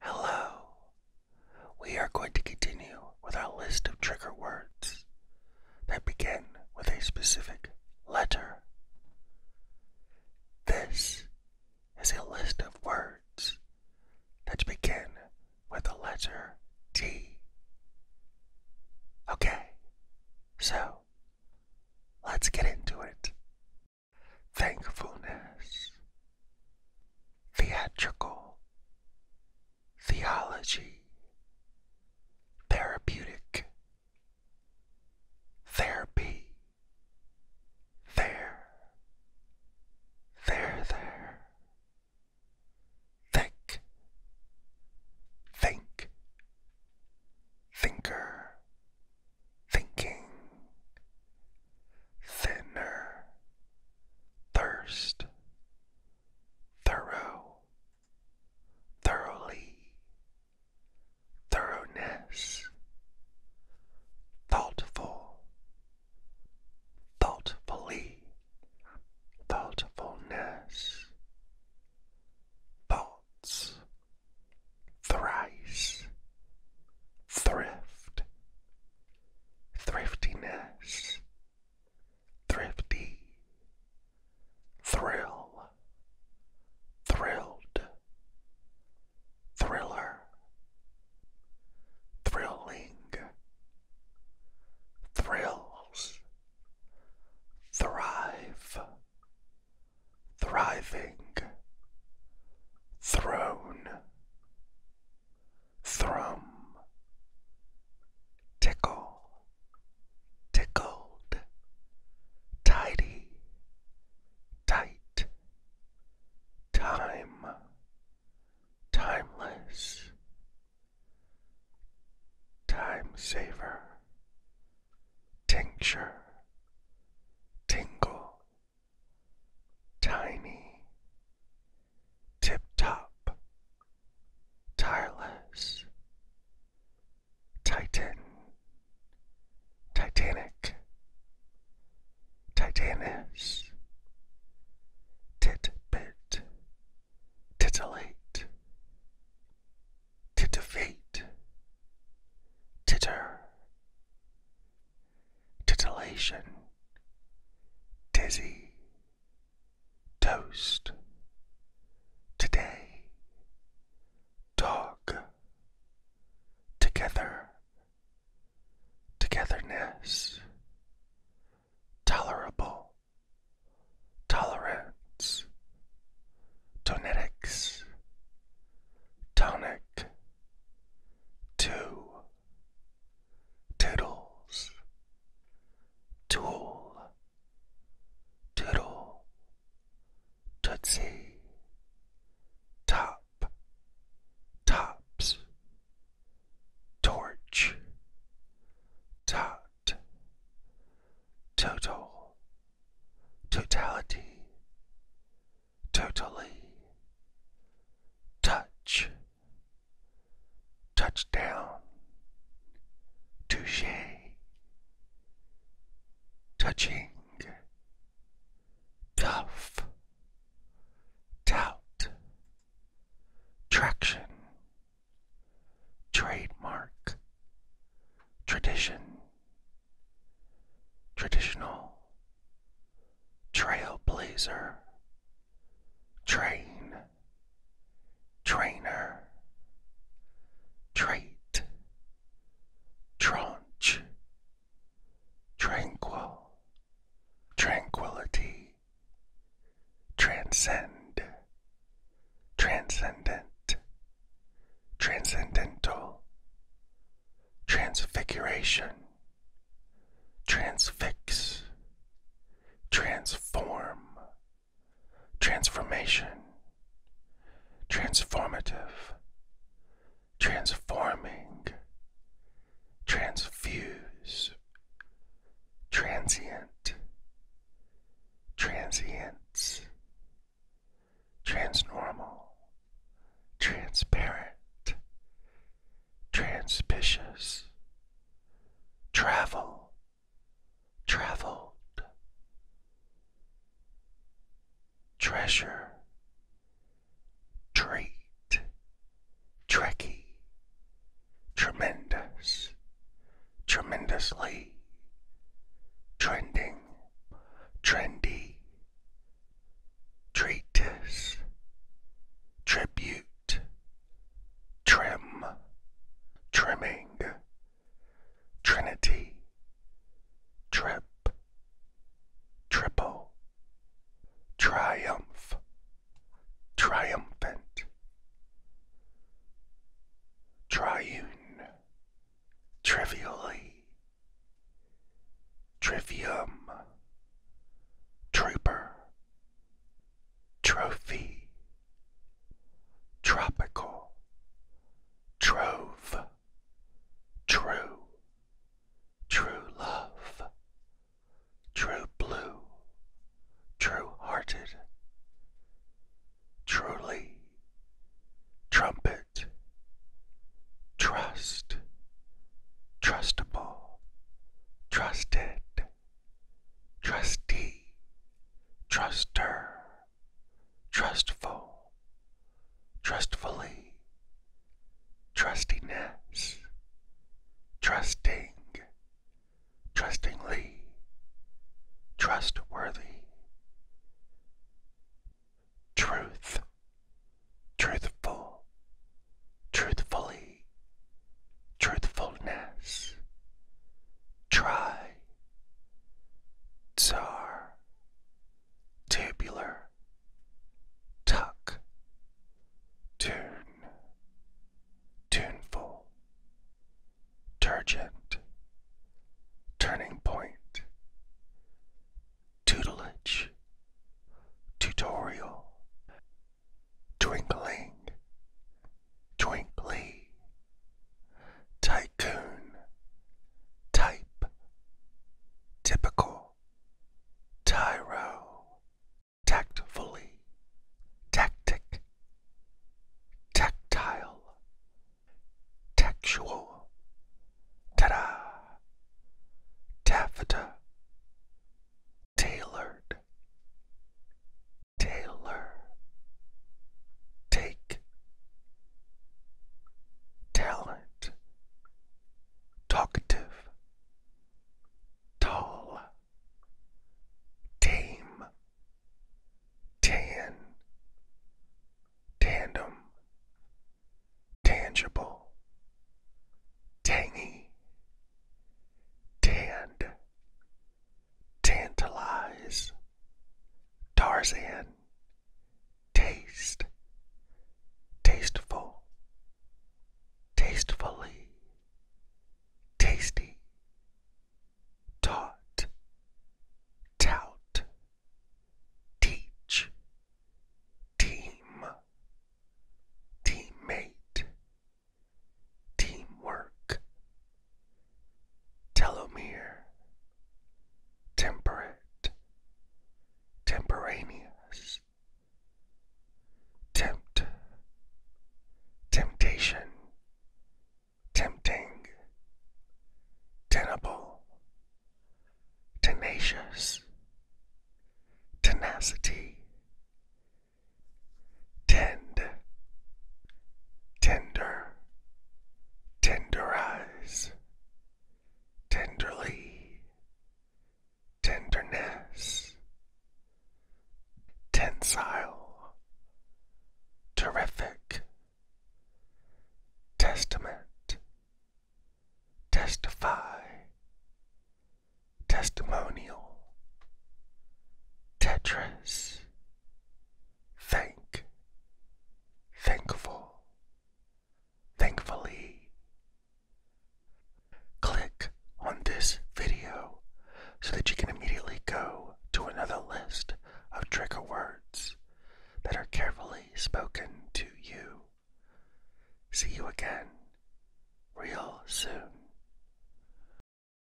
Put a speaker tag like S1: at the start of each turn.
S1: Hello. We are going to continue with our list of trigger words that begin with a specific letter. This is a list of words that begin with the letter T. Okay, so let's get into it thankfulness, theatrical, theology, therapeutic, therapy, there, there, there, think, think, thinker, thinking, thinner, thirst, thorough, thoroughly, thoroughness, thoughtful, thoughtfully, thoughtfulness, thoughts, thrice, thrift, thriftiness, thrifty, thrill, thrilled, thriller, thrilling, thrills, thrive, thriving, throne, thrum, tickle, tickled, tidy, tight, time, timeless, time saver tincture, tingle, tiny, tip top, tireless, titan, titanic, titanus, titbit, titillate. Titter, defeat, titter, titillation, dizzy, toast, today, dog, together, togetherness, tolerable, tolerance, tonetics, tonic, two, toodles, tool, toodle, tootsie, top, tops, torch, top total, totality, totally, touch, touchdown, touche, touching, tough, doubt, traction, trademark, tradition, traditional, trailblazer, train, trainer, trait, tranche, tranquil, tranquility transcend, transcendent, transcendental, transfiguration, transfix, transform, transformation, transformative, transforming, transfuse, transient, transience, transnormal, transparent, transpicious, travel, traveled, treasure, treat tricky, tremendous, tremendously, trending, trendy, treatise, tribute, trim, trimming, trinity, trip, triple, triumph, triumphant, triune, trivially, trivium, trooper, trophy, tropical, trove, true, true love, true blue, true hearted, truly, trumpet, trust, trustable, trusted, trustee, truster, trustful, trustfully, trustiness, trusting, trustingly, trustworthy, truth, truthful, truthfully, truthfulness, try, tsar, Tabular. Tuck. Tune. Tuneful. Turgent. Turning point. Tutelage. Tutorial. Twinkling. Twinkly. Tycoon type, typical, tyro, tactfully, tactic, tactile, Textual. ta taffeta, tailored, tailor, take, talent talkative, tall, tame, tan, tandem, tangible, tangy, tanned, tantalize, Tarzan taste, tasteful, tastefully, tasty, taught, tout, teach, team, teammate, teamwork, telomere, temperate, Temperaneous. tempt, temptation, tempting, tenable, tenacious, tenacity, tend, tender, tenderize, tenderly, tenderness, tensile, terrific, testament, testify, testimonial, tetris. Thank, thankful, thankfully. Click on this video so that you can immediately go to another list of trigger words that are carefully spoken to you. See you again real soon.